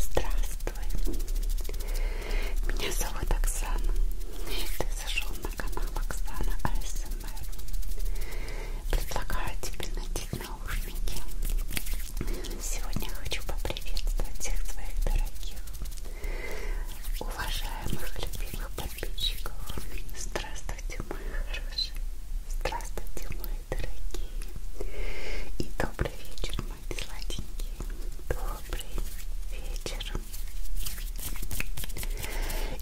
Здравствуй, меня зовут Оксана, и ты зашел на канал Оксана АСМР. Предлагаю тебе надеть наушники. Сегодня хочу поприветствовать всех своих дорогих, уважаемых, любимых подписчиков. Здравствуйте, мои хорошие! Здравствуйте, мои дорогие. И добрый вечер, мои сладенькие. Добрый вечер.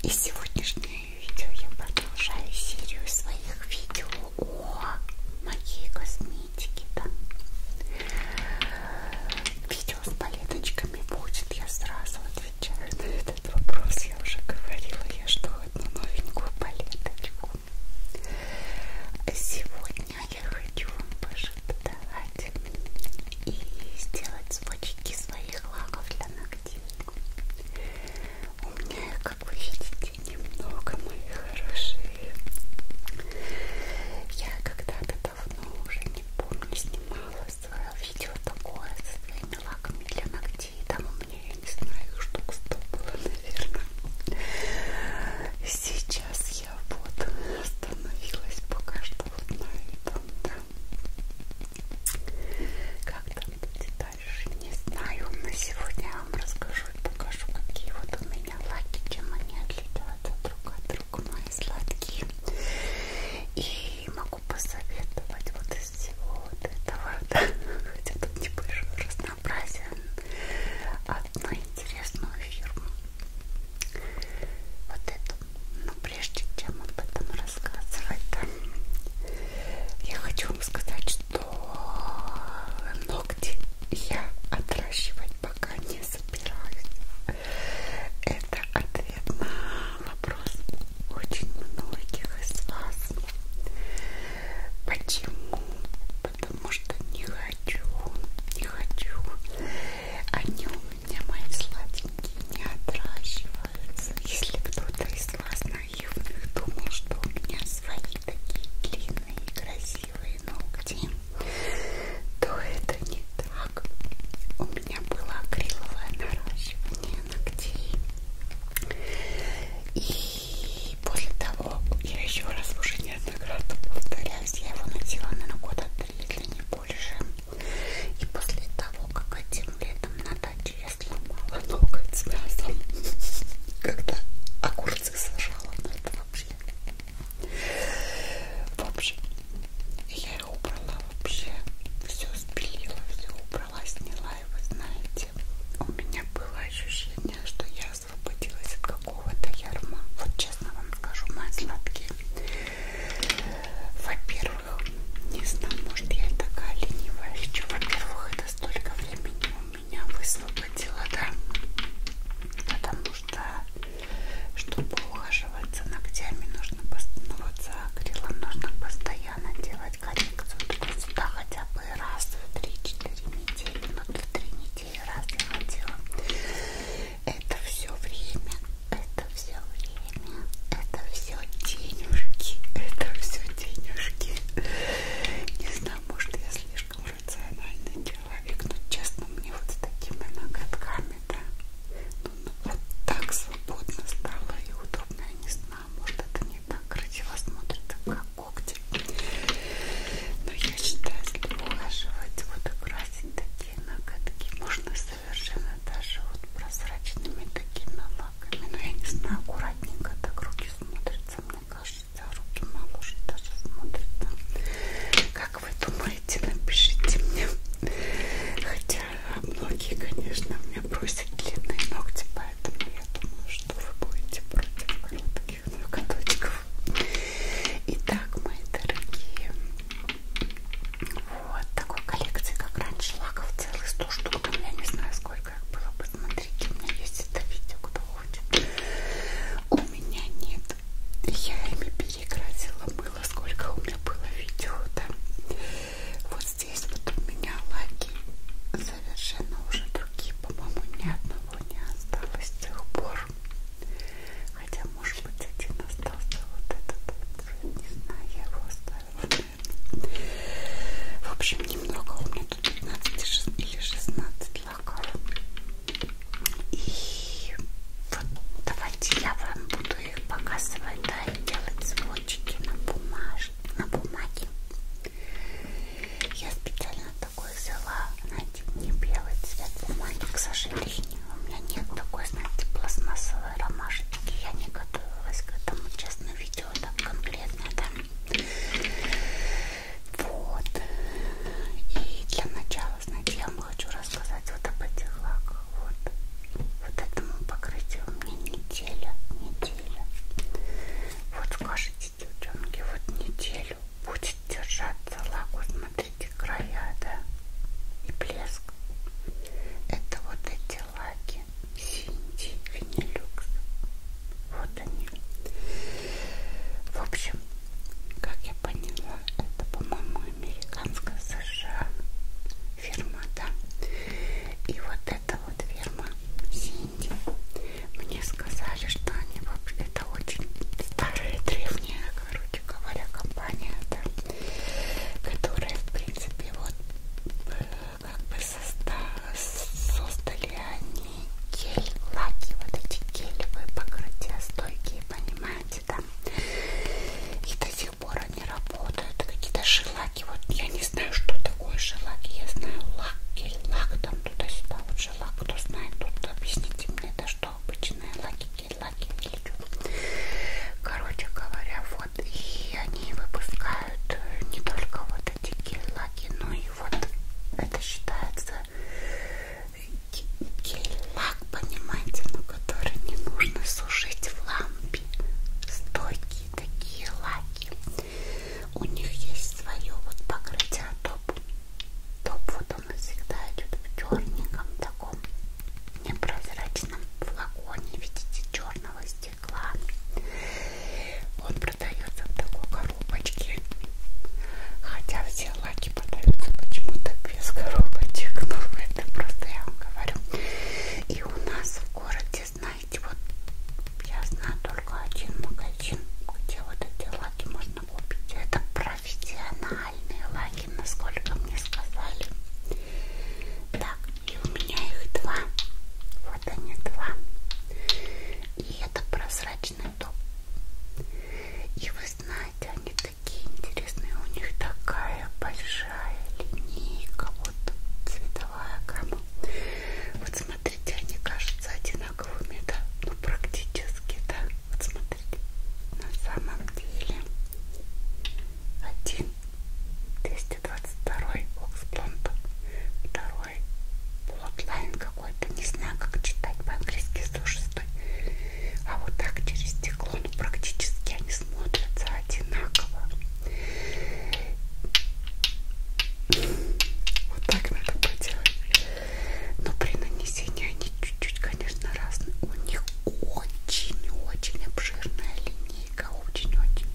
И сегодняшнее видео я продолжаю серию своих видео о моей косметике. Да? Видео с палеточками будет, я сразу отвечаю на этот вопрос. Я уже говорила, я жду одну новенькую палеточку. Сегодня я хочу вам пошептать и сделать сводчики своих лаков для ногтей. У меня, как вы видите, немного, мои хорошие. Я когда-то давно уже не помню, снимала свое видео такое со своими лаками для ногтей. Там у меня, я не знаю, штук 100 было, наверное. Сейчас я вот остановилась пока что вот на этом, да. Как там будет дальше, не знаю. На сегодня я вам расскажу и покажу, какие вот у меня лаки, чем они отличаются друг от друга, мои сладкие. И могу посоветовать вот из всего вот этого, да, хотя тут небольшой раз разнообразие одну интересную фирму. Вот эту. Но прежде чем об этом рассказывать, да, я хочу вам сказать, что ногти я отращивать пока не собираюсь. Это ответ на вопрос очень многих из вас. Почему потому что не хочу, не хочу. Они у меня, мои сладенькие, не отращиваются. Если кто-то из вас наивных думал, что у меня свои такие длинные и красивые ногти, то это не так. У меня было акриловое наращивание ногтей. И и после того я еще раз уже неоднократно повторяюсь, я его надела на года три или не больше. И после того, как этим летом на даче я сломала ноготь с мясом, когда огурцы сажала, но ну, это вообще... В общем, я его убрала вообще, все спилила, все убрала, сняла его, знаете. У меня было ощущение, что я освободилась от какого-то ярма. Вот честно вам скажу, мои сладкие. Во-первых, не знаю, может я и такая ленивая лечу. Во-первых, это столько времени у меня высвободило, да? Потому что, чтобы ухаживать за ногтями, нужно ну, вот за акрилом нужно постоянно делать коррекцию. Только сюда хотя бы раз в 3-4 недели, но 3 недели неделю, раз находила. Это все время, это все время, это все денежки, это все денежки. Не знаю, может я слишком рациональный человек, но честно, мне вот с такими ноготками, да, ну, ну, вот так свободно стало и удобно, я не знаю, может это не так красиво смотрится, как когти. Но я считаю, если ухаживать, вот украсить такие ноготки, можно совершенно даже вот прозрачными такими лаками. Но я не знаю, аккуратненько так руки смотрятся, мне кажется, руки моложе даже смотрятся. Как вы думаете, напишите мне. Хотя многие, конечно, мне просят длинные ногти, поэтому я думаю, что вы будете против коротких ноготочков лайков. Итак, мои дорогие, вот такой коллекции, как раньше, лаков целых 100 штук. У меня не знаю, сколько их было бы. Смотрите, у меня есть это видео, кто хочет. У меня нет. Я ими перекрасила мыло, сколько у меня было видео, да. Вот здесь вот у меня лаки совершенно уже другие, по-моему, ни одного не осталось с тех пор похож. Хотя, может быть, один остался вот этот. Не знаю, я его оставила, наверное. В общем, немного. У меня тут 15 или 16 лаков. И вот давайте я вам буду их показывать, да, и делать сводчики на бумажке. На бумаге. Я специально такой взяла, знаете, не белый цвет бумаги, к сожалению. У меня нет такой, знаете, пластмассовой ромашечки. Я не готовилась к этому, честно, видео так конкретно, да. Вот. И для начала, знаете, я вам хочу рассказать вот об этих лаках. Вот. Вот этому покрытию у меня неделя, неделя. Вот скажите, девчонки, вот неделю будет держаться лак, смотрите края, да, и блеск. Это вот эти лаки Синди Винилюкс. Вот они. В общем, как я поняла, это, по-моему, американская США фирма, да. И вот эта вот фирма Синди. Мне сказали, что они вообще это очень старая, древняя, короче говоря, компания, да, которая, в принципе, вот э, как бы соста создали они гель, лаки, вот эти гелевые покрытия стойкие, понимаете, да, и до сих пор они работают, какие-то шелаки, вот я не знаю, что такое шелаки, я знаю лак, гель, лак, там туда-сюда, вот шелак, кто знает, тут объясните мне, да, что что обычные лаки, гель-лаки или что. Короче говоря, вот и они выпускают не только вот эти гель-лаки, но и вот это считается гель-лак, понимаете, но который не нужно сушить в лампе. Стойкие такие лаки. У них есть свое вот покрытие топ. А топ вот вот он всегда идет в черненьком таком непрозрачном флаконе, видите, черного стекла. Он продается в такой коробочке. Хотя все лаки подаются почему-то без коробочек. Ну, это просто я вам говорю. И у нас в городе, знаете, вот я знаю только один магазин, где вот эти лаки можно купить. Это про профессиональные лаки, насколько мне сказали. Так, и у меня их два. Вот они два. И это прозрачный топ. И вы знаете, они такие интересные. У них такая большая линейка. Вот цветовая гамма. Вот смотрите, они кажутся одинаковыми, да? Ну, практически, да? Вот смотрите на самом деле 1 222 Оксплонт, второй Плотлайн какой-то, не знаю как читать по-английски 106 а вот так через стекло, ну практически они смотрятся одинаково вот так надо поделать но при нанесении они чуть-чуть, конечно, разные. У них очень-очень обширная линейка, очень-очень.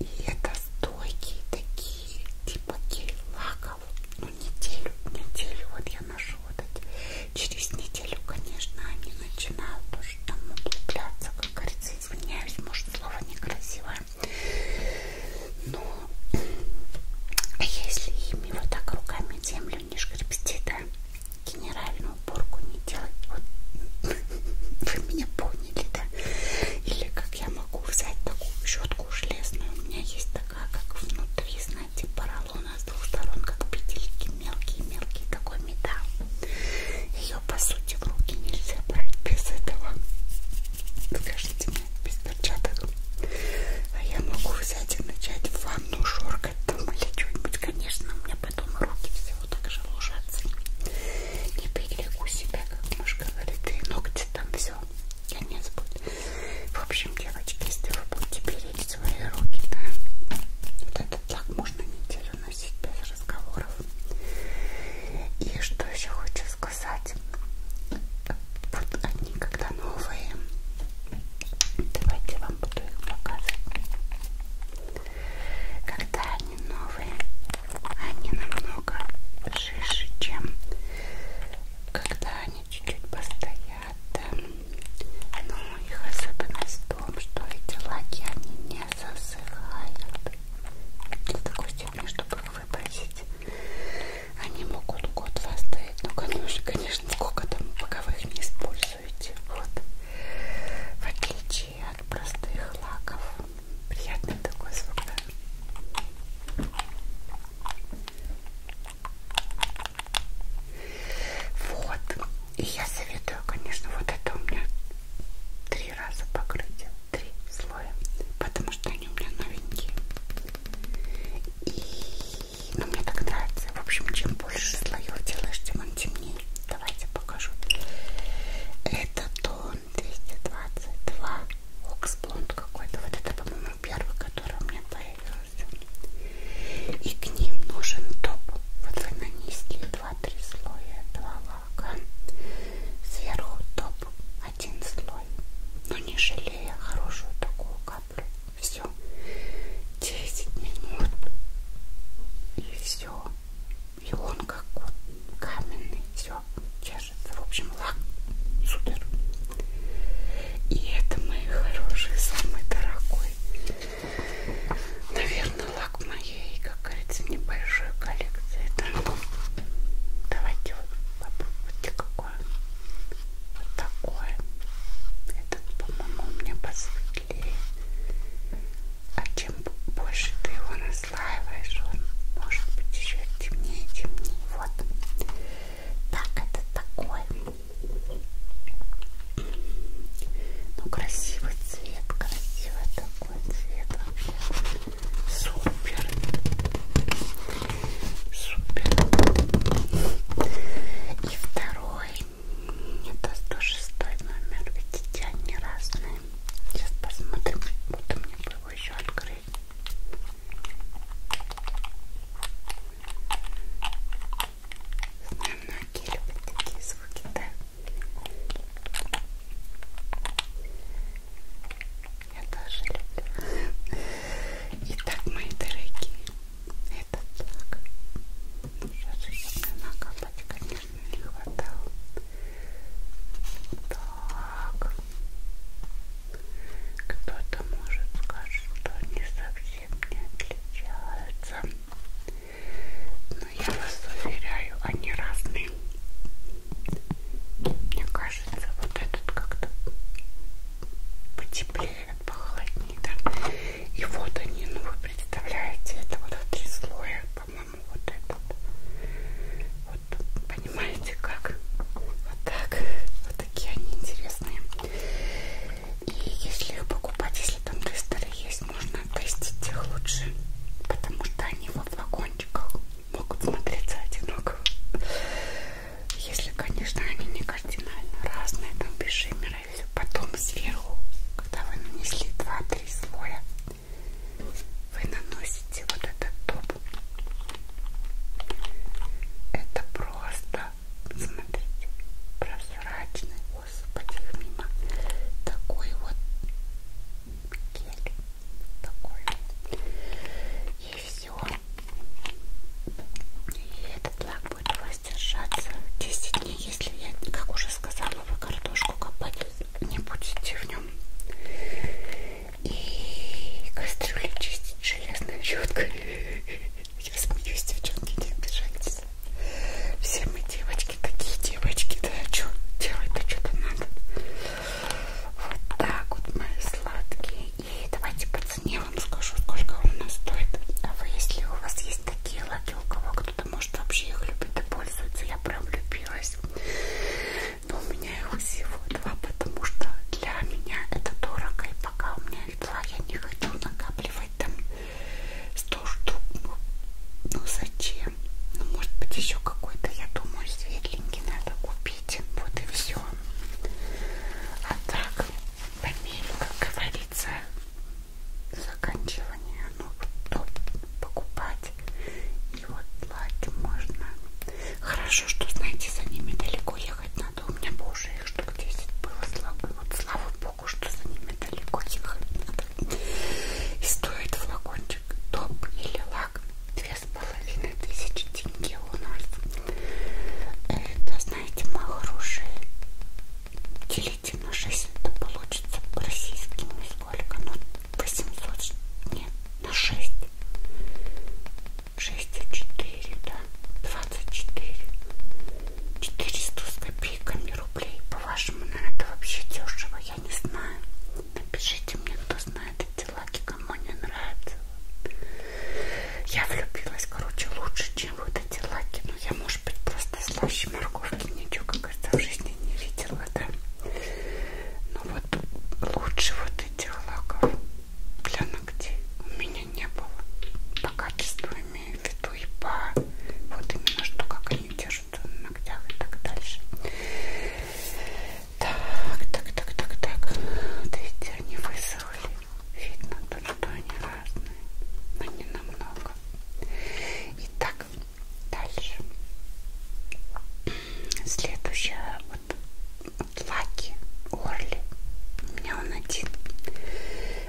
И это стойкие такие, типа гель-лаков. Ну, неделю, неделю вот я ношу вот эти. Через неделю, конечно, они начинают тоже там углубляться, как говорится, извиняюсь, может, слово некрасивое. Но если ими вот так руками землю если он не шкребстит, да, генеральную уборку не делать. Вот. Вы меня поняли, да? Или как я могу взять такую щетку железную? У меня есть такая, как внутри, знаете, поролона с двух сторон, как петельки, мелкие-мелкие, такой металл. Ее, по сути, в руки нельзя брать без этого. Скажите мне, без перчаток. А я могу взять и начать в ванну шоркать там или что-нибудь. Конечно, у меня потом руки все вот так же ложатся. Не берегу себя, как муж говорит, и ногти там все. Конец будет. В общем, девочки, если вы будете беречь свои руки, да, вот этот лак можно неделю носить без разговоров. И что еще хочу сказать вот они когда новые. Давайте я вам буду их показывать. Когда они новые, они намного жиже, чем когда они чуть-чуть постоят. Но их особенность в том, что эти лаки они не засыхают. До такой степени, чтобы их выбросить. Они могут год-два стоять, но ну, конечно, конечно, сколько там, пока вы их не используете. Вот. В отличие от простых лаков. Приятный такой звук, да? Вот. И я советую, конечно, вот это у меня три раза покрытие, три слоя, потому что они у меня новенькие. И но ну, мне так нравится. В общем, чем больше слоев делаешь, тем он темнее. Давайте покажу. Это тон 222. Оксблонд какой-то. Вот это, по-моему, первый, который у меня появился. И к ним нужен топ. Вот вы нанесли 2-3 слоя, два лака. Сверху топ один слой. Но ну, не жалея хорошую такую каплю все 10 минут и все и он как вот каменный все чешется в общем лак супер и это мои хорошие самый дорогой наверное лак моей как говорится небольшой коллекции это давайте вот попробуйте как такое. Вот такое. Этот, по-моему, у меня посветлее. А чем больше ты его наслаиваешь, он может быть еще темнее, темнее. Вот. Так, это такой. Ну, красивый цвет, красивый такой цвет вообще. Супер. Супер. И второй это 106 номер, видите, они разные. Сейчас посмотрим, будто мне бы его еще открыть. Знаю, многие любят такие звуки, да? Я тоже люблю. Итак, мои дорогие, это так. Сейчас еще накапать, конечно, не хватало. Так. Кто-то может сказать, что они совсем не отличаются. Но я вас уверяю, они разные. Мне кажется, вот этот как-то потеплее, похолоднее, да? И вот они, ну вы представляете, это вот в три слоя, по-моему, вот этот. Вот, понимаете, как? Вот так. Вот такие они интересные. И если их покупать, если там тестеры есть, можно тестить их лучше. Потому что они во флакончиках могут смотреться одинаково. Если, конечно, они не кардинально разные, там без шиммера отправили потом сверху, когда вы нанесли 2-3 слоя, вы наносите вот этот топ. Это просто, смотрите, прозрачный, господи, мимо. Такой вот кель. Такой вот. И все. И этот лак будет у вас воздержаться 10 дней, если я, как уже сказала, вы картошку копать не будете в нем. И кастрюлю чистить железной щеткой. Я смеюсь, девчонки, не обижайтесь. Все мы девочки, такие девочки, да, а что делать-то что-то надо. Вот так вот, мои сладкие. И давайте под по цене вам скажу, сколько он у нас стоит. А вы, если у вас есть такие лаки, у кого кто-то может вообще их любит и пользуется, я прям влюбилась. Но у меня их всего два, потому что для меня это дорого. И пока у меня их два, я не хочу накапливать там 100 штук. Ну, ну зачем? Ну, может быть, еще какой-то, я думаю, светленький надо купить. Вот и все. А так, по мере, как говорится, заканчивания, ну, то ну, покупать. И вот лаки можно. Хорошо, что, знаете, за ними далеко ехать надо. У меня бы уже их штук 10 было, слава, вот, слава богу, что за ними далеко ехать надо. И стоит флакончик топ или лак две с половиной тысячи тенге у нас. Это, знаете, мои хорошие делите на 6, это получится по российским сколько, ну 800, нет, на 6, 6 и 4, да, 24, 400 с копейками рублей, по-вашему, наверное, ну, это вообще дешево, я не знаю, напишите мне, кто знает эти лаки, кому не нравится. Я влюбилась, короче, лучше, чем вот эти лаки. Но я, может быть, просто просто слаще морковки ничего, как это в жизни не видела, да. Но ну вот лучше вот этих лаков для ногтей у меня не было. По качеству имею в виду и по вот именно что, как они держатся на ногтях и так дальше. Так, так, так, так, так. Вот видите, они высохли. Видно тут, что они разные, но не намного. Итак, дальше. Следующая вот, вот лаки, орли. У меня он один.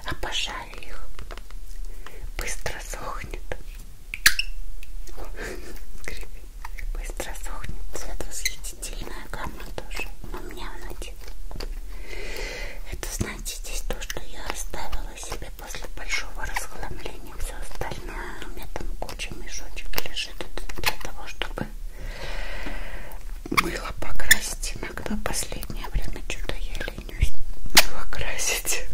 Обожаю их. Быстро сохнет. О, Быстро сохнет. Цвет восхитительная гамма тоже. У меня он один. Это знаете, здесь то, что я оставила себе после большого расхламления, все остальное. У меня там куча мешочек лежит для того, чтобы мыло покрасить. Иногда последнее время что-то я ленюсь мыло красить.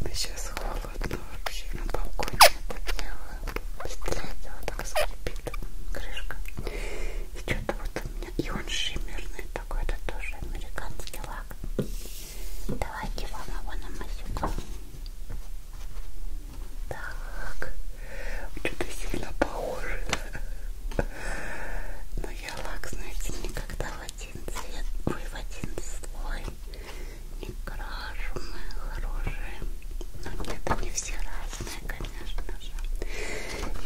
Но сейчас холодно вообще на балконе это делаю. После этого так скрипит крышка. И что-то вот у меня. И он шиммерный такой, это тоже американский лак. Давайте вам его намазюкаем. Так, что-то сильно похоже. Но я лак, знаете, никогда в один цвет, ой, в один слой не крашу, мои хорошие. Но нет, они все разные, конечно же.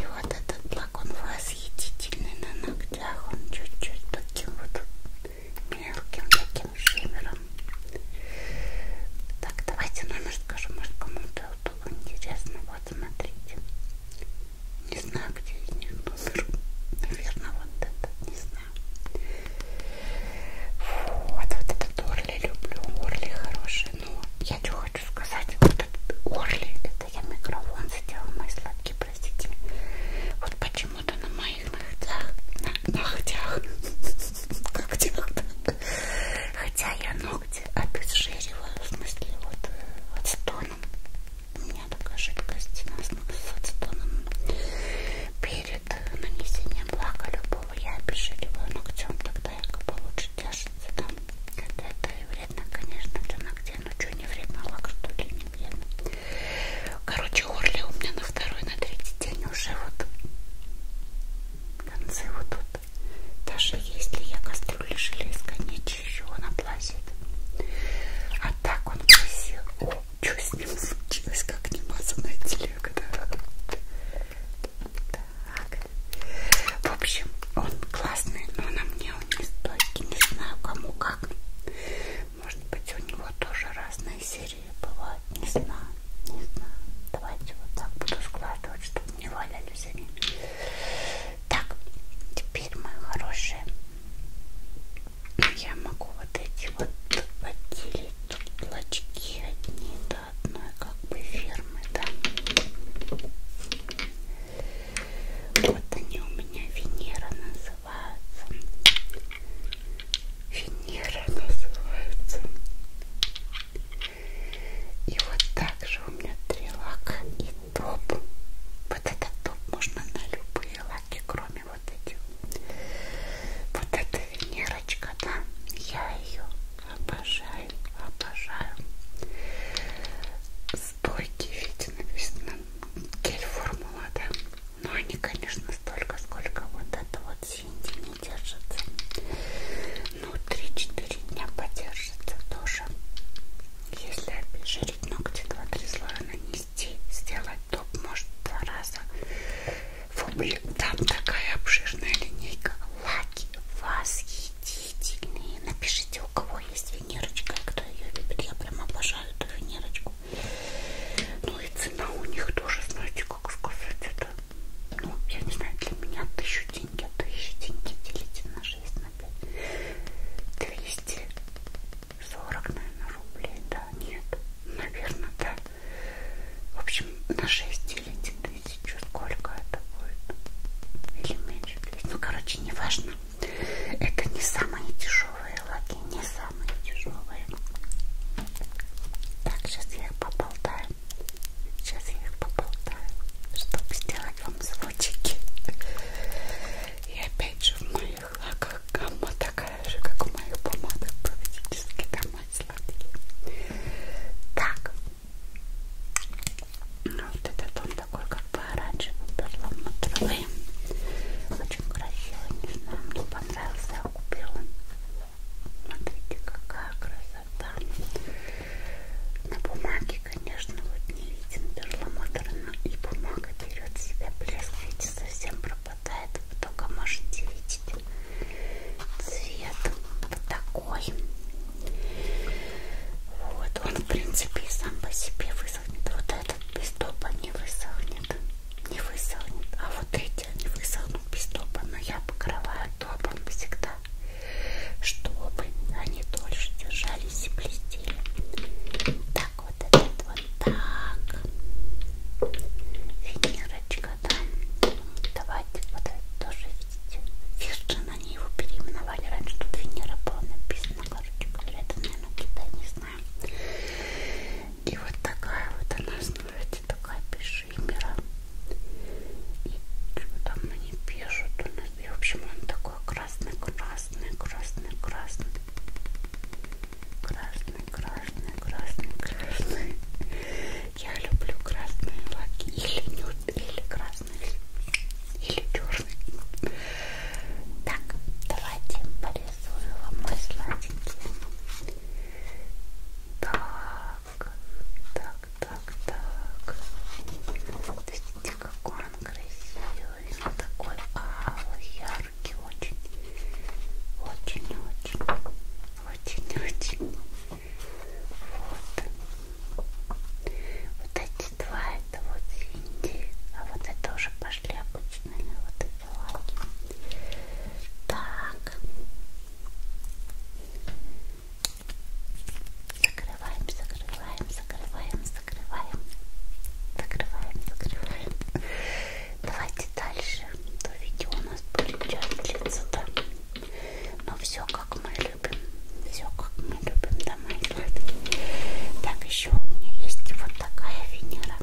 И вот этот лак, он вас восхитительный на ногтях, он чуть-чуть таким вот мелким таким шиммером. Так, давайте номер скажу, может кому-то вот интересно, вот смотрите. Не знаю, где из них номер. Наверное, вот этот, не знаю. Вот, вот этот Орли люблю, Орли хороший, но ну, я что хочу сказать, вот этот Орли, это я микрофон задела, мои сладкие, простите Вот почему-то на моих ногтях, на ногтях, когтях, хотя я ногти обезжириваю, в смысле вот э, отстоном, у меня такая жидкость с отстоном Перед нанесением лака любого я обезжириваю ногтем, тогда я получше держится там, когда это вредно, конечно, для ногтей. Ну что, не вредно, а лак что ли, не вредно. Короче, Орли у меня на второй, на третий день уже вот концы вот тут. Даже если я кастрюли железка не чищу, она плазит. А так он красил. О, что с ним случилось, как немазанная телега, да? Так. В общем, он классный, но на мне меня он не стойкий, не знаю кому как. Может быть у него тоже разные серии бывают, не знаю, не знаю. Давайте вот так буду складывать, чтобы не валялись они. Так, теперь, мои хорошие, я могу вот эти вот отделить тут плачки одни до одной как бы фирмы, да. Вот они у меня Венера называются. Венера называется. И вот так же у меня три лака и топ. Вот этот топ можно на любые лаки, кроме вот этих. Вот эта Венерочка, да, я ее обожаю, обожаю стойкие, видите, написано гель формула, да. Но они, конечно, столько, сколько вот это вот синди не держится. Ну, 3-4 дня подержится тоже. Если обезжирить ногти, 2-3 слоя нанести, сделать топ, может, два раза. Фу, блин, там такая обширная линейка. Лаки восхитительные восхитительные. Напишите, у кого есть венерочка, и кто ее любит. Я прям обожаю эту венерочку. Ну и цена у них тоже, знаете, как сказать, это, ну, я не знаю, для меня тысячу деньги, а тысячу деньги делите на 6, на 5. 240, наверное, рублей, да, нет, наверное, да. В общем, на 6 делите тысячу, сколько это будет? Или меньше? Ну, короче, не важно. Это не самые дешевые лаки, не самые дешевые. Так, сейчас я их поболтаю. Сейчас я их поболтаю, чтобы сделать вам звучки. И опять же в моих лаках гамма такая же, как у моих помадок, практически домой сладкие. Так, ну, вот этот он такой как бы оранжевый перламутровый. Очень красиво, не знаю, мне понравился, я купила. Смотрите, какая красота. На бумаге, конечно, вот не виден перламутр, но и бумага берет себя блеск, видите, совсем пропадает. Вы только можете видеть цвет вот такой. Вот он, в принципе, сам по себе высохнет. Вот этот без топа не высохнет. Не высохнет. А вот эти они высохнут без топа. Но я покрываю топом всегда, чтобы они дольше держались и блестели. Так вот этот вот так. Венерочка, да. Давайте вот это тоже видите. Фишки, они его переименовали. Раньше тут Венера была написана ну, короче говоря, это, наверное, Китай, не знаю. И вот такая вот она становится, такая пешимера. И что там они пишут у нас? И, в общем, он такой красный-красный, красный-красный. Красный, красный, красный, красный. Я люблю красные лаки. Или нюд, или красный или черный. Так, давайте порисую вам мой сладенький. Так, так, так, так. Видите, какой он красивый, он такой алый, яркий, очень, очень, очень, очень, очень. Вот. Вот два это вот синие, а вот это уже пошли обычные вот эти лаки. Так. Закрываем, закрываем, закрываем, закрываем. Закрываем, закрываем. Давайте дальше. То видео у нас будет час длиться, да. Но все как мы любим. Все как мы мы любим дома и гладки. Так, еще у меня есть вот такая Венера.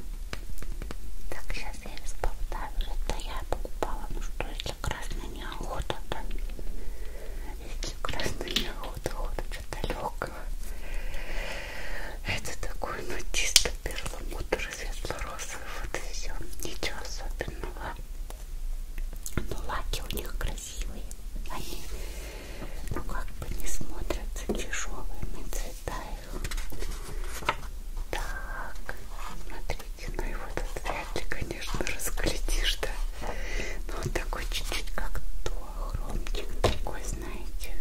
Так, сейчас я ее сболтаю. Это я покупала. Ну что, если красная неохота, то... Если красная неохота, охота что-то легкого. Это такой, ну, чисто перламутр светло-розовый. Вот и все. Ничего особенного. Но лаки у них красивые. Они но ну, как бы не смотрятся тяжелыми цвета их. Так, смотрите, ну его тут вряд ли, конечно, разглядишь, да? Но ну, он такой чуть-чуть как хромчик такой, знаете.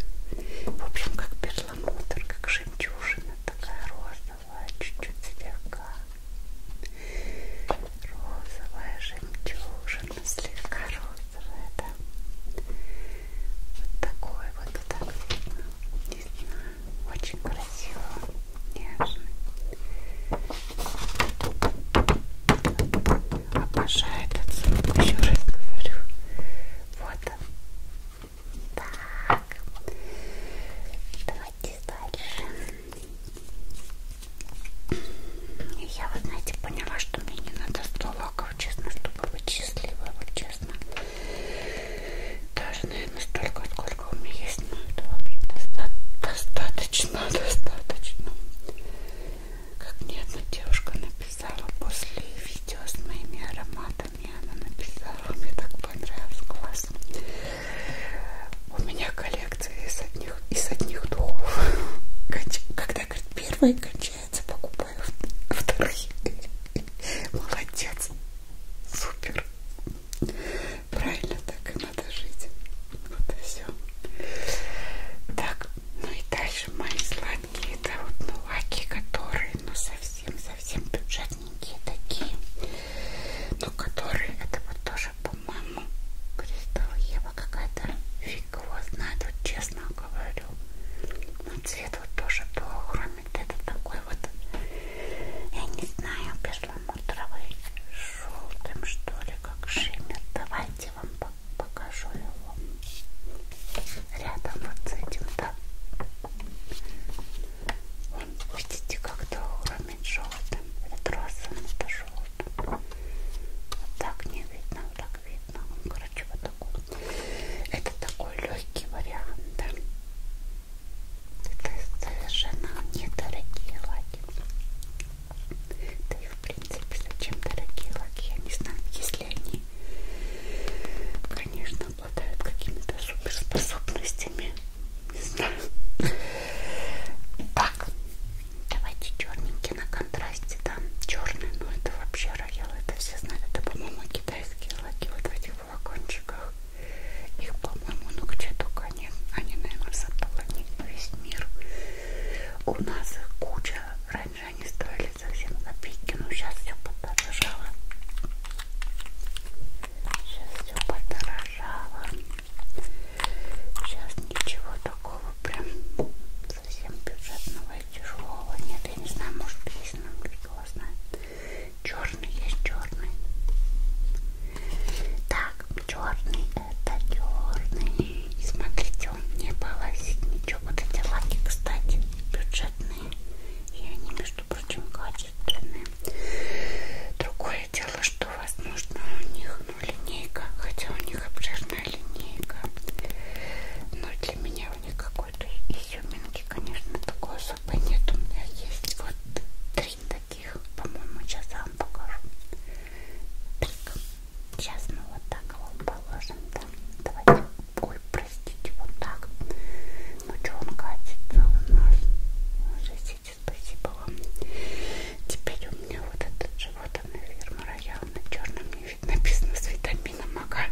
В общем, как перламутр, как жемчужина, такая розовая, чуть-чуть слегка. Розовая жемчужина, слегка розовая это вот такой вот, вот так видно. Здесь очень красиво, нежно. Обожаю этот звук, еще раз говорю. Вот он. Так, давайте дальше. Я, вы знаете, поняла, что мне не надо столок вот честно, чтобы быть счастливой, вот честно. Даже, наверное, столько, сколько у меня есть, но это вообще доста достаточно, достаточно. Как мне одна девушка написала после видео с моими ароматами, она написала, мне так понравилось, классно. У меня коллекция из одних, из одних духов. Когда, говорит, первые кончаются, яйца покупаю вторые. Молодец. Супер. Правильно так и надо жить. Вот и все. Так, ну и дальше мои сладкие, это вот мулаки, ну, которые, ну совсем-совсем бюджетненькие такие, но которые, это вот тоже, по-моему, кристалл Ева какая-то фиг кого знает, вот честно говорю. Но цвет вот тоже плохо, кроме этот такой вот, я не знаю, перламутровый, желтым что ли, как шиммер. Давайте вам покажу его рядом вот с этим, да. Вон, видите, как-то уровень желтым, это розовым, это желтым. Вот так не видно, вот так видно. Он, короче, вот такой. Это такой легкий вариант, да? Это совершенно недорогие лаки. Да и в принципе, зачем дорогие лаки? Я не знаю, если они, конечно, обладают какими-то суперспособностями. Не знаю. Так, давайте черненький оттенки на контрасте, да, черный, ну это вообще роял, это все знают, это, по-моему, китайские лаки вот в этих флакончиках. Их, по-моему, ну где только они, они, наверное, заполонили весь мир. У нас их куча, раньше они стоили совсем копейки, но сейчас все подорожало. Сейчас все подорожало. Сейчас ничего такого прям совсем бюджетного и тяжелого нет, я не знаю, может есть, но кто знает. Черный есть черный. Так, черный это черный. Смотрите, он не полосит ничего. Вот эти лаки, кстати, бюджетные. И они, между прочим, качественные. Другое дело, что возможно у них ну, линейка, хотя у них обширная линейка. Но для меня никакой-то изюминки, конечно, такой особой нет. У меня есть вот три таких, по-моему, сейчас я вам покажу. Так, сейчас мы вот так его положим, да? Давайте, ой, простите, вот так. Ну что он катится у нас? Жесите, спасибо вам. Теперь у меня вот этот живот, наверное, роял на черном не написано с витамином ага.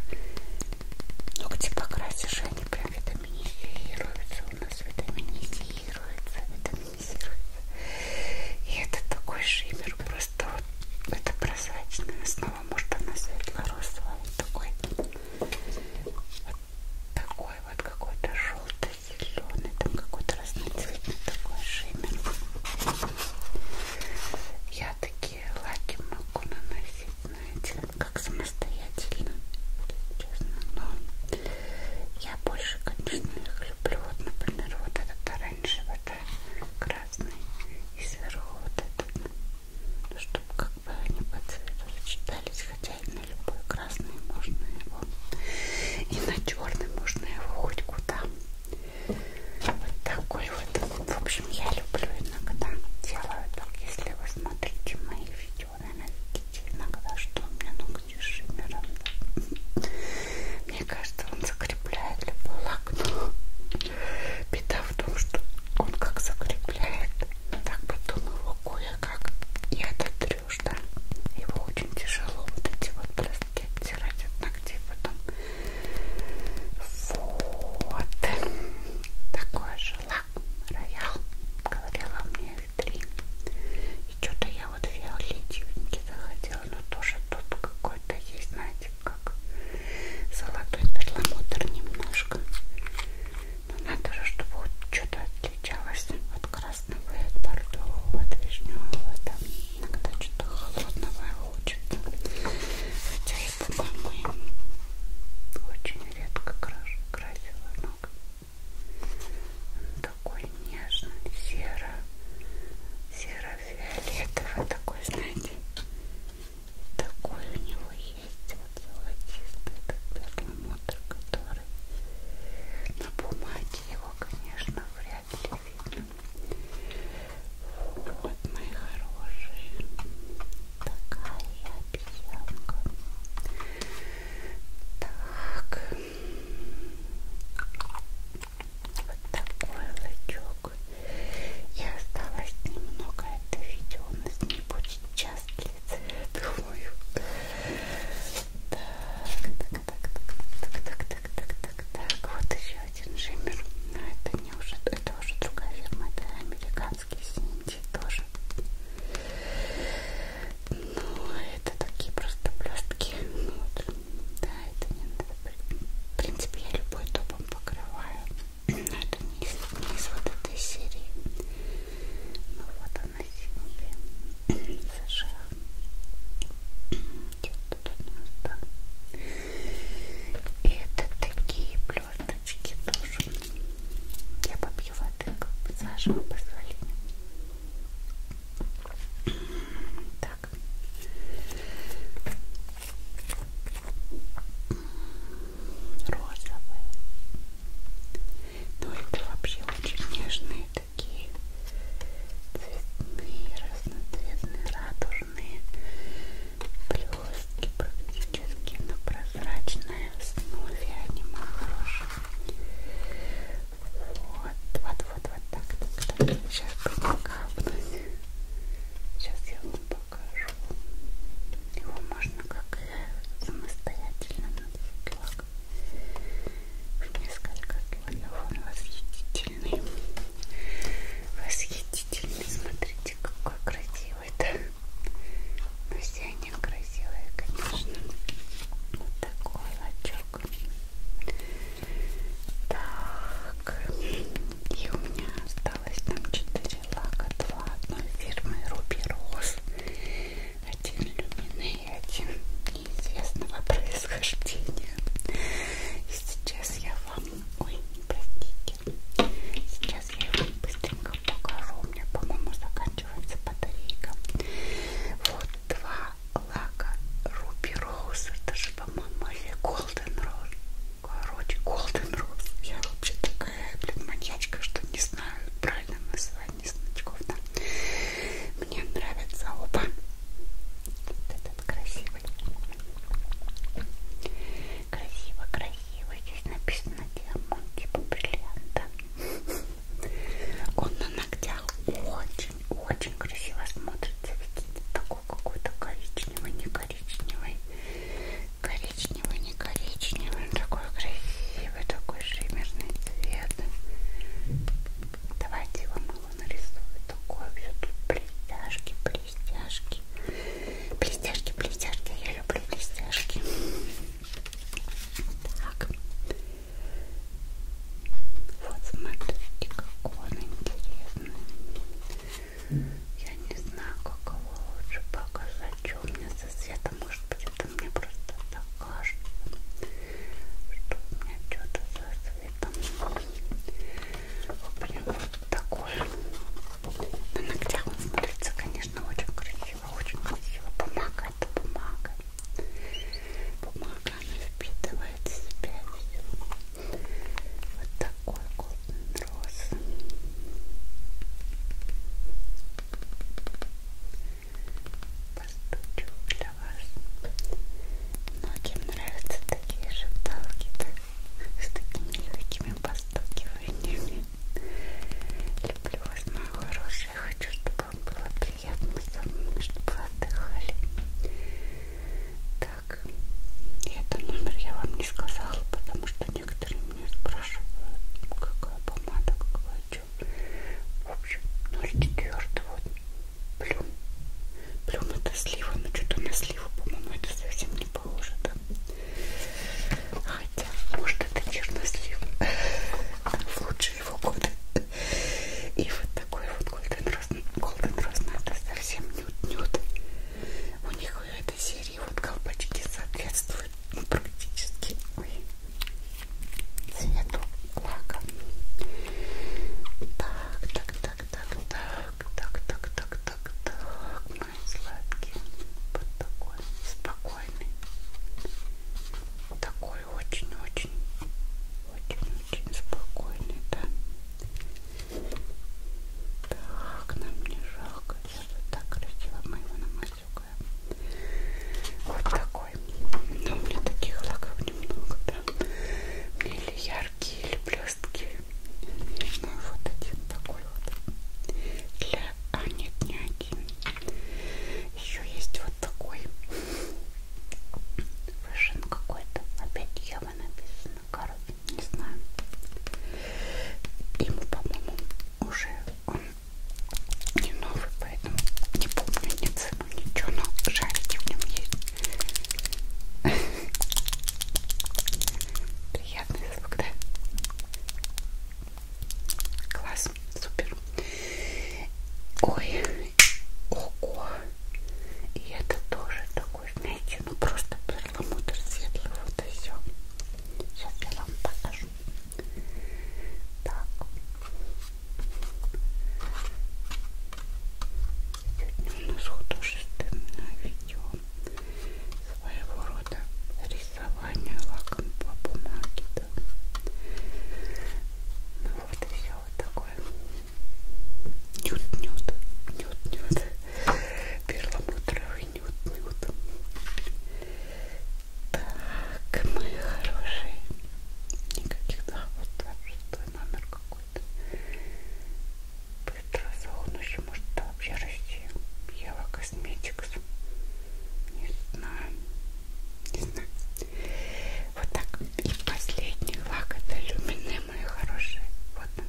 Ногти покрасишь, они прям витаминизируются. У нас витаминизируется, витаминизируется. И это такой шиммер, просто вот это прозрачная основа. Может она светло-розовая, вот такой. Вот такой вот какой-то желто-зеленый, там какой-то разноцветный такой шиммер. Я такие такие лаки могу наносить на эти, как самостоятельно, если честно, но я больше, конечно, их люблю, вот, например, вот этот оранжевый, да, красный, и сверху вот этот, ну, чтобы как бы они по цвету сочетались, хотя и на любой красный можно его, и на черный можно его хоть куда вот такой вот. В общем, я люблю иногда делаю так, если вы смотрите мои видео, наверное, видите иногда, что у меня ногти с шиммером. Да? Мне кажется, он закрепляет любой лак, но беда в том, что он как закрепляет, так потом его кое-как и ототрешь, да. Его очень тяжело вот эти вот блестки оттирать от ногтей, потом вот. Такое же лак-роял. Говорила мне три. И что-то я вот фиолетивенький захотела, но тоже тут какой-то есть, знаете, как золотой перламутр немножко. Но надо же, чтобы вот что-то отличалось от красного и от бордового, от вишневого. Там иногда что-то холодного хочется. Хотя рыбу по-моему очень редко краш красила ног он такой нежный серо серо-фиолетовый такой знаете такой у него есть вот золотистый этот перламутр который на бумаге его конечно вряд ли видно вот, мои хорошие, такая обезьянка. Так, вот такой лычок. И осталось немного это видео. У нас не будет час длиться, я думаю. Так, так, так, так, так, так, так, так, так, так. Вот еще еще один шиммер, но это не уже, это уже другая фирма, это американский Синди тоже. Ну, это такие просто блестки. Вот. Да, это не надо. В принципе, я любой топом покрываю. Но это не из, не из вот этой серии. Ну вот она синяя. США. Что тут у нас, да? И это такие звездочки тоже. Я попью воды, как бы с вашего позволения. Так. Розовые. Ну это вообще очень нежные такие цветные, разноцветные, радужные черные блестки практически на прозрачной основе они мои хорошие вот, вот, вот, вот так, так, так. сейчас покапнуть сейчас я вам покажу его можно как и самостоятельно наносить лак в несколько слоев он восхитительный восхитительный, смотрите какой красивый делают. Но ну, все они красивые, конечно. Вот такой лачок. Так. И у меня осталось там 4 лака. Два одной фирмы Руби Роз. Один люмины и один неизвестного происхождения. И сейчас я вам... Ой, простите подарки. Сейчас я его быстренько покажу. У меня, по-моему, заканчивается батарейка. Вот два лака Руби Роуз. Это же, по-моему, или Голден Роуз. Короче, Golden Rose. Я вообще такая, блин, маньячка, что не знаю правильно название значков, да. Мне нравятся оба. Вот этот красивый. Красиво, красиво. Здесь написано диамант, типа бриллианта. Он на ногтях очень, очень красиво смотрится. Видите, такой какой-то коричневый, не коричневый. Коричневый, не коричневый. Он такой красивый, такой шиммерный цвет. Давайте его мало нарисую. Такое все тут блестяшки, блестяшки блестяшки. Блестяшки, блестяшки, я люблю блестяшки. Так. Вот смотрите, какой он интересный. Я не знаю, как его лучше показать. Что у меня со светом, может быть, это мне просто так кажется, что у меня что-то со светом. Прям вот такой на ногтях он смотрится, конечно, очень красиво, очень красиво. Бумага, это бумага. Бумага, она впитывает в себя все. Вот такой Golden Rose. Постучу для вас. Многим нравятся такие шепталки, так с такими легкими постукиваниями. Люблю вас, мои хорошие. Хочу, чтобы вам было приятно со мной, чтобы вы отдыхали. Так, и это номер я вам не сказала, потому что некоторые меня спрашивают, какая помада, какая что. В общем, 04 вот. Плюм. Плюм это слива, но что-то на сливу, по-моему, это совсем не похоже, да? Хотя, может, это чернослив в лучшие его годы. И вот такой вот Golden Rose. Golden Rose ну, это совсем нюд-нюд. У них в этой серии вот колпачки соответствуют практически цвету лака. Так, так, так, так, так, так, так, так, так, так цветной, сладкий, вот такой спокойный, такой очень-очень, очень-очень спокойный, да. Так, нам не жалко, я же так любила моего намазюкая. Вот такой. Но ну, у меня таких лаков немного, да. Мне или яркие, или блестки, ну и вот один такой вот. Для... А нет, не один. Еще есть вот такой. Вышин какой-то. Опять Ева написано. Короче, не знаю. Ему, по-моему, уже он не новый, поэтому не помню ни цену, ничего, но шарики в нем есть приятный звук, да? Класс, супер. Ой, ого. И это тоже такой, знаете, ну просто перламутр светлый, вот и все. Сейчас я вам покажу. Так. Сегодня у нас художественное видео своего рода рисование лаком по бумаге. Да. Ну вот и все вот такое. Нют-нют, нют-нют. Перламутровый нют-нют. Так, мои хорошие. Никаких да, вот так, шестой номер какой-то. Быстро заунущий вообще может это вообще расти? Ева Косметикс. Не знаю. Не знаю. Вот так. И последний лак это люмине, мои хорошие. Вот он.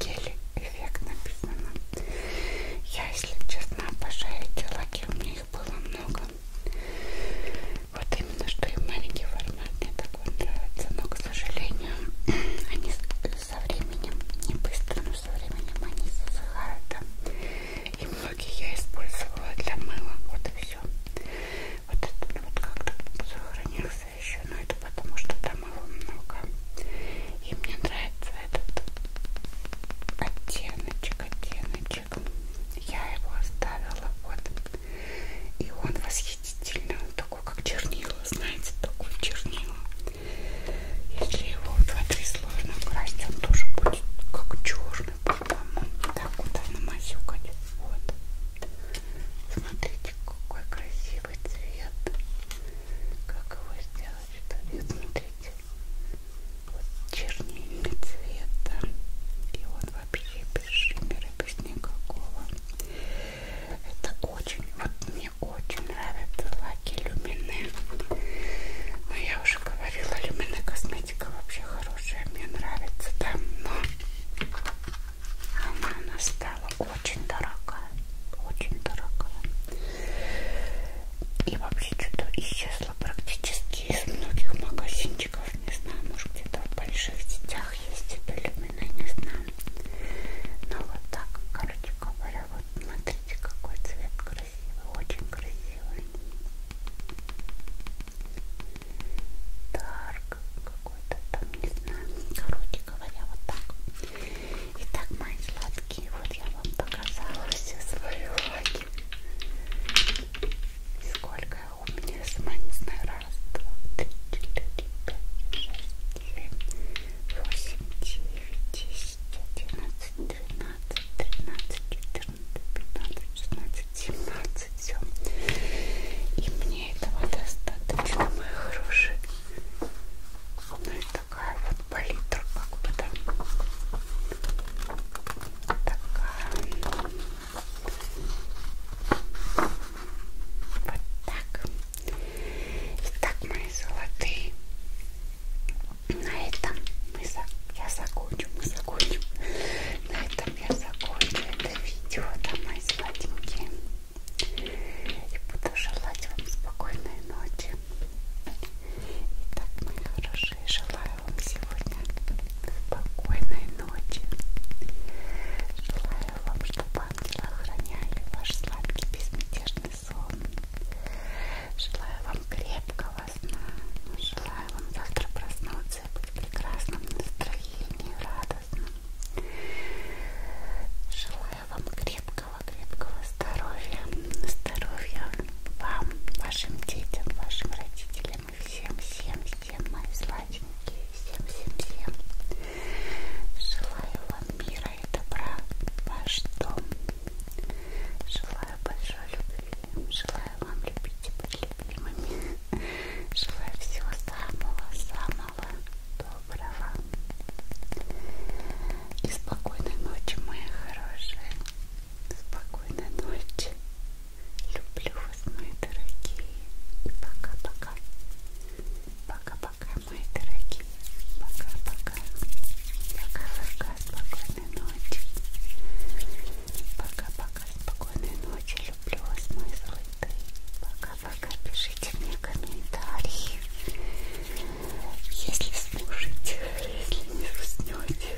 Гели эффект написано. Я, если честно, обожаю эти лаки. У меня их было много. Вот именно что и маленький формат мне такой нравится. Но, к сожалению, они со временем, не быстро, но со временем они засыхают. Да? И многие я использовала для мыла. Вот и все. Вот этот вот как-то сохранился еще, но это потому что там его много. И мне нравится этот оттеночек, оттеночек. Я его оставила вот. И он восхитительный, он такой как чернила, знаете, такой чернила. Если его в два-три сложно красить, он тоже будет как черный, по-моему. Так куда намазюкать. Вот. Смотрите, какой красивый цвет. Как его сделать, что ли? Смотрите. Вот чернильный цвет, да. И он вообще без шиммера, без никакого. Это очень, вот мне очень нравятся лаки люмине. Но я уже говорила, люмине косметика вообще хорошая, мне нравится давно. Она, она стала очень дорогая, очень дорогая. И вообще что-то исчезла практически из многих магазинчиков. Не знаю, может где-то в больших сетях есть это люмине, не знаю. Но ну, вот так, короче говоря вот смотрите, какой цвет красивый, очень красивый. Дарк какой-то там, не знаю. Короче говоря, вот так. Итак, мои сладкие, вот я вам показала все свои лаки. Сколько у меня сама не знаю, раз, два, три, четыре, пять, шесть, семь, восемь, девять, десять. 11, 12, 13, 14, 15, 16, 17, все. И мне этого достаточно, мои хорошие. Ну и такая вот палитра, как бы там. Такая. Вот так. Итак, мои золотые. На этом мы за... я закончу, мы закончим. На этом я закончу это видео, там мои сладенькие. И буду желать вам спокойной ночи. Итак, мои хорошие, желаю вам сегодня спокойной ночи. Желаю вам, чтобы ангелы охраняли ваш сладкий безмятежный приятный сон. Желаю вам крепкого сна. Желаю вам завтра проснуться и быть в прекрасном настроении, радостном. Желаю вам крепкого-крепкого здоровья. Здоровья вам, вашим детям, вашим родителям и всем-всем-всем, мои сладенькие, всем-всем-всем. Желаю вам мира и добра, ваш дом, Желаю большой любви, желаю вам любить и быть любимыми. Желаю всего самого-самого доброго. И спокойной ночи, мои хорошие. Спокойной ночи. Люблю вас, мои дорогие. И пока-пока. Пока-пока, мои дорогие. Пока-пока. Пока-пока. Спокойной ночи. Пока-пока. Спокойной ночи. Люблю вас, мои золотые. Пока-пока. Пишите мне комментарии. Если слушаете, если не уснете,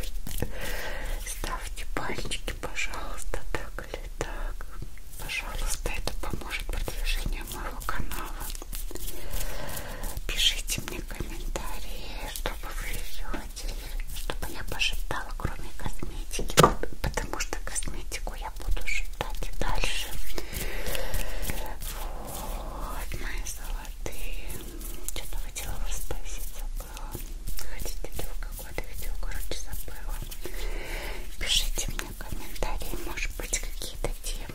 ставьте пальчики, пожалуйста, так или так. Пожалуйста, это поможет продвижению моего канала. Пишите мне комментарии, что бы вы хотели, чтобы я пошептала, кроме косметики, потому что косметику я буду шептать и дальше. Вот, мои золотые. Что-то хотела вас спросить, забыла. Хотите ли в какое-то видео, короче, забыла. Пишите мне комментарии, может быть, какие-то темы